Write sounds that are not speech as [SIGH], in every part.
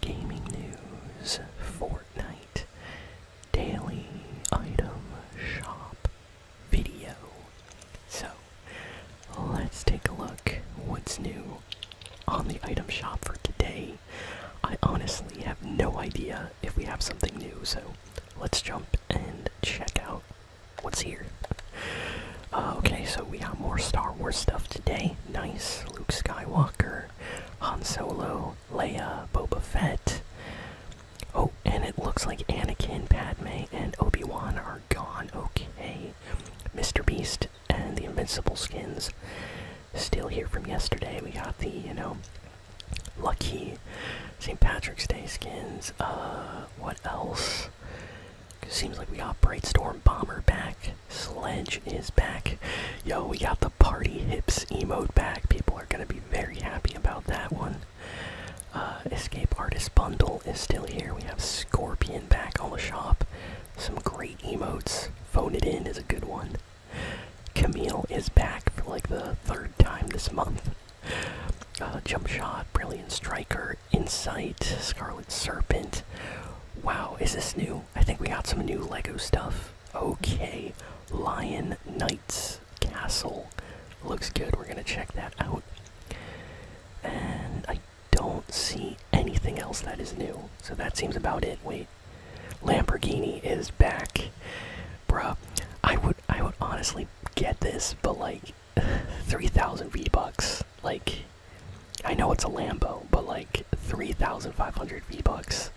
gaming news, Fortnite, daily item shop video. So let's take a look what's new on the item shop for today. I honestly have no idea if we have something new, so let's jump and check out what's here. Uh, okay, so we got more Star Wars stuff today. Nice. Luke Skywalker, Han Solo, Leia, Boba Fett. Oh, and it looks like Anakin, Padme, and Obi Wan are gone. Okay. Mr. Beast and the Invincible skins still here from yesterday. We got the, you know, Lucky St. Patrick's Day skins. Uh, what else? seems like we got Brightstorm Bomber back. Sledge is back. Yo, we got the Party Hips emote back. People are going to be very happy about that one. Uh, Escape Artist Bundle is still here. We have Scorpion back on the shop. Some great emotes. Phone It In is a good one. Camille is back for like the third time this month. Uh, jump Shot, Brilliant Striker, Insight, Scarlet Serpent. Wow, is this new? I think we got some new Lego stuff. Okay, Lion Knight's Castle. Looks good, we're gonna check that out. And I don't see anything else that is new, so that seems about it. Wait, Lamborghini is back. Bro, I would, I would honestly get this, but like, 3,000 V-Bucks. Like, I know it's a Lambo, but like 3,500 V-Bucks.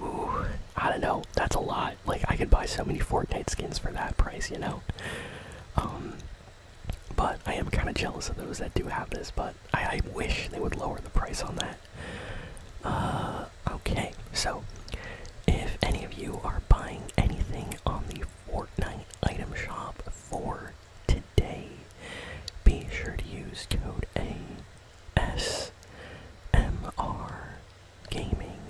Ooh, I don't know. That's a lot. Like, I could buy so many Fortnite skins for that price, you know? Um, but I am kind of jealous of those that do have this, but I, I wish they would lower the price on that. Uh, okay, so if any of you are buying anything on the Fortnite item shop for today. Be sure to use code ASMR Gaming.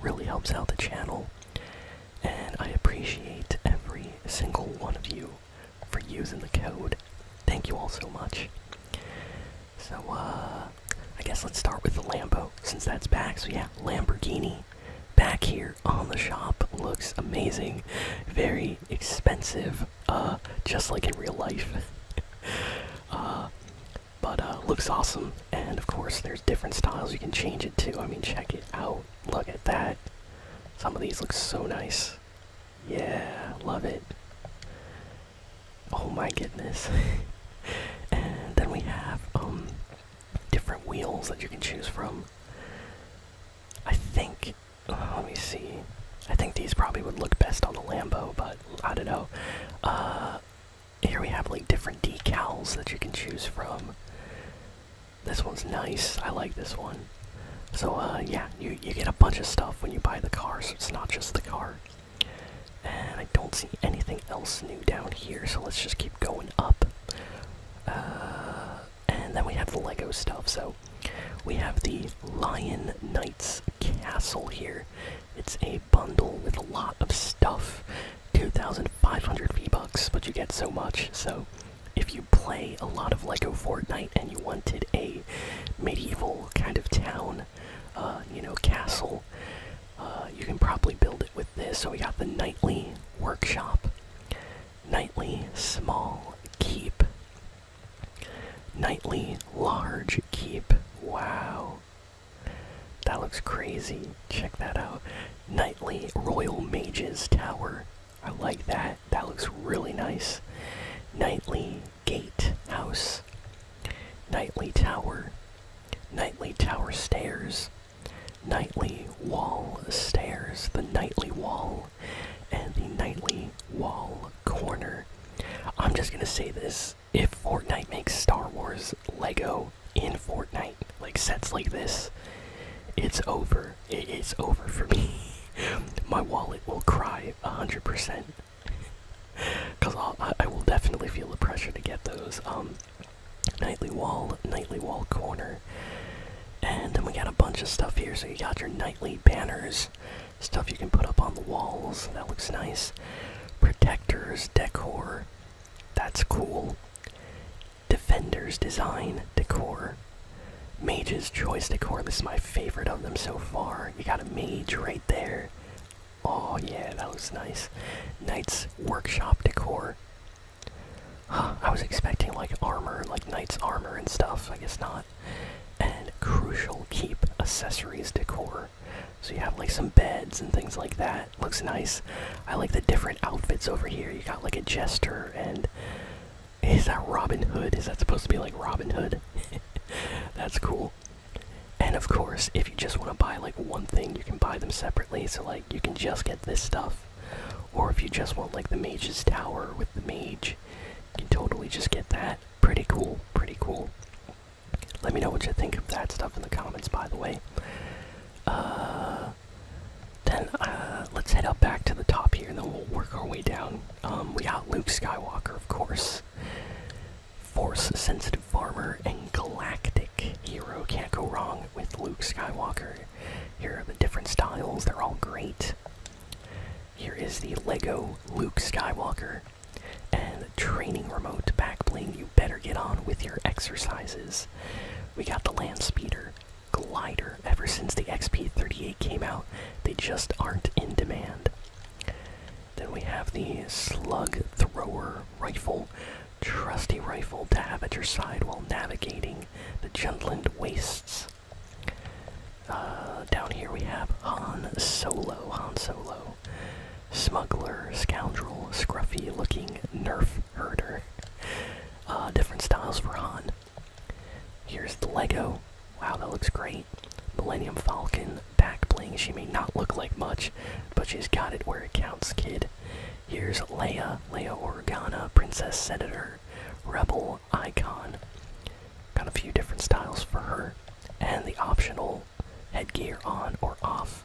Really helps out the channel, and I appreciate every single one of you for using the code. Thank you all so much. So, uh, I guess let's start with the Lambo since that's back. So, yeah, Lamborghini back here on the shop looks amazing. Very expensive, uh, just like in real life. [LAUGHS] uh, but uh, looks awesome, and of course there's different styles you can change it to. I mean, check it out. Look at that. Some of these look so nice. Yeah, love it. Oh my goodness. [LAUGHS] and then we have um different wheels that you can choose from. I think, uh, let me see. I think these probably would look best on the Lambo, but I don't know. Uh, here we have like different decals that you can choose from. This one's nice. I like this one. So uh, yeah, you you get a bunch of stuff when you buy the car, so it's not just the car. And I don't see anything else new down here, so let's just keep going up. Uh, and then we have the Lego stuff. So we have the Lion Knights Castle here. It's a bundle with a lot of stuff 2,500 V bucks, but you get so much. So if you play a lot of Lego Fortnite and you wanted a medieval kind of town, uh, you know, castle, uh, you can probably build it with this. So we got the nightly workshop, nightly small keep, nightly large keep. Wow. That looks crazy. Check that out. Nightly Royal Mages Tower. I like that. That looks really nice. Nightly Gate House. nightly Tower. nightly Tower Stairs. Nightly Wall Stairs, the Nightly Wall, and the Nightly Wall Corner. I'm just gonna say this if Fortnite makes Star Wars Lego in Fortnite, like sets like this, it's over. It is over for me. [LAUGHS] My wallet will cry 100%. Because [LAUGHS] I will definitely feel the pressure to get those. Um, Nightly wall, nightly wall corner. And then we got a bunch of stuff here. So you got your nightly banners, stuff you can put up on the walls. That looks nice. Protectors, decor. That's cool. Defenders design, decor. Mage's choice decor. This is my favorite of them so far. You got a mage right there. Oh yeah, that looks nice. Knight's workshop decor. I was expecting like armor, like knight's armor and stuff. I guess not. And crucial keep accessories decor. So you have like some beds and things like that. Looks nice. I like the different outfits over here. You got like a jester and is that Robin Hood? Is that supposed to be like Robin Hood? [LAUGHS] That's cool. And of course, if you just want to buy like one thing, you can buy them separately. So like you can just get this stuff. Or if you just want like the mage's tower with the mage, you can totally just get that. Pretty cool, pretty cool. Let me know what you think of that stuff in the comments, by the way. Uh, then uh, let's head up back to the top here, and then we'll work our way down. Um, we got Luke Skywalker, of course. Force sensitive farmer and galactic hero can't go wrong with Luke Skywalker. Here are the different styles, they're all great. Here is the Lego Luke Skywalker and training remote backbling you better get on with your exercises. We got the land speeder, glider. Ever since the XP38 came out, they just aren't in demand. Then we have the slug thrower rifle trusty rifle to have at your side while navigating the Jundland wastes. Uh, down here we have Han Solo. Han Solo. Smuggler, scoundrel, scruffy looking nerf herder. Uh, different styles for Han. Here's the Lego. Wow, that looks great. Millennium Falcon, back bling. She may not look like much, but she's got it where it counts, kid. Here's Leia, Leia Organa, Princess Senator, Rebel Icon. Got a few different styles for her. And the optional headgear on or off.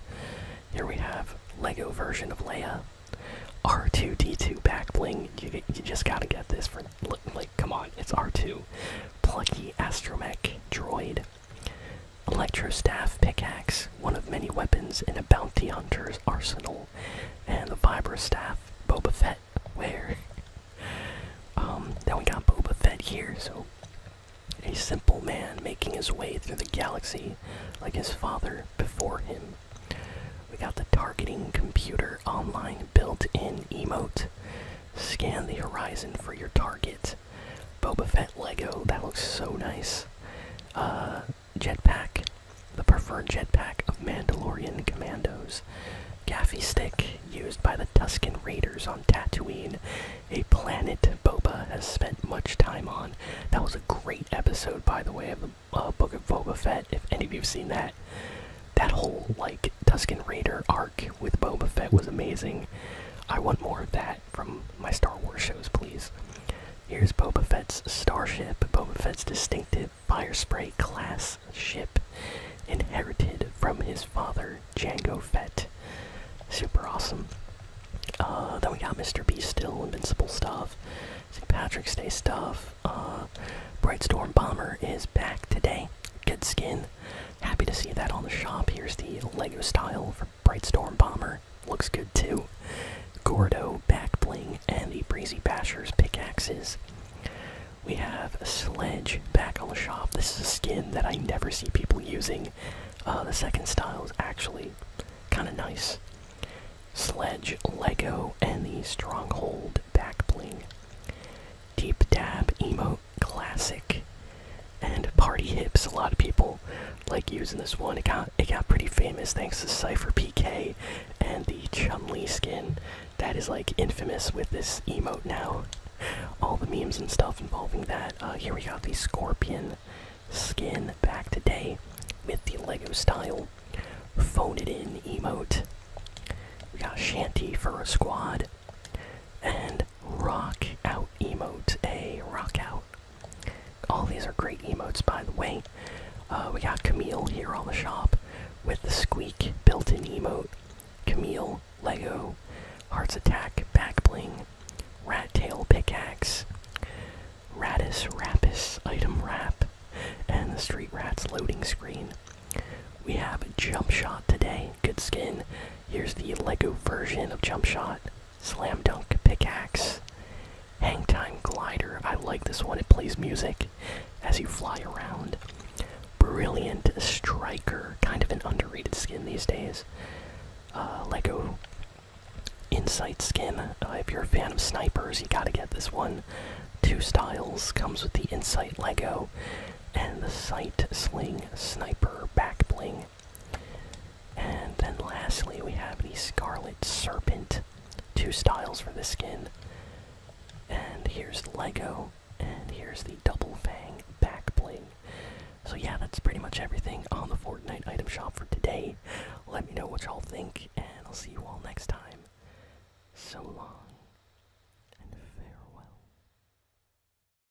Here we have Lego version of Leia. R2D2 back bling. You, just gotta get this for. look. Like, come on, it's R2. Plucky Astromech droid. Electrostaff pickaxe, one of many weapons in a bounty hunter's arsenal, and the Vibra staff, Boba Fett. Where? um, then we got Boba Fett here, so a simple man making his way through the galaxy like his father before him. We got the targeting computer online built-in emote. Scan the horizon for your target Boba Fett Lego, that looks so nice. Uh, jetpack, the preferred jetpack of Mandalorian commandos. Gaffy stick, used by the Tusken Raiders on Tatooine, a planet Boba has spent much time on. That was a great episode, by the way, of the uh, Book of Boba Fett, if any of you have seen that. That whole, like, Tusken Raider arc with Boba Fett was amazing. I want more of that from my Star Wars shows, please. Here's Boba Fett's starship, Boba Fett's distinctive fire spray class ship, inherited from his father, Django Fett. Super awesome. Uh, then we got Mr. B still, invincible stuff, St. Patrick's Day stuff. Uh, Bright Storm Bomber is back today. Good skin. Happy to see that on the shop. Here's the Lego style for Bright storm Bomber looks good too. Gordo back bling and the Breezy Basher's pickaxes. We have Sledge back on the shop. This is a skin that I never see people using. Uh, the second style is actually kind of nice. Sledge, Lego, and the Stronghold back bling. Deep Dab emote classic and party hips. A lot of people like using this one. It got it got pretty famous thanks to Cypher PK and the Chumley skin that is like infamous with this emote now. All the memes and stuff involving that. Uh, here we got the scorpion skin back today with the Lego style phone it in emote. We got Shanty for a squad. And rock out emote. A rock out. All these are great emotes, by the way. Uh, we got Camille here on the shop with the squeak built-in emote. Camille, Lego, Hearts Attack, Back Bling, Rat Tail Pickaxe, Ratis Rapus Item Wrap, and the Street Rat's loading screen. We have Jump Shot today good skin. Here's the Lego version of Jump Shot. Slam Dunk Pickaxe. Hang Time Glider. I like this one. It plays music as you fly around. Brilliant Striker. Kind of an underrated skin these days. Uh, Lego Insight skin. Uh, if you're a fan of snipers, you gotta get this one. Two styles. Comes with the Insight Lego and the Sight Sling Sniper Back Bling. And then lastly, we have the Scarlet Serpent. Two styles for the skin. And here's Lego, and here's the Double Fang back Blade. So, yeah, that's pretty much everything on the Fortnite item shop for today. Let me know what y'all think, and I'll see you all next time. So long, and farewell.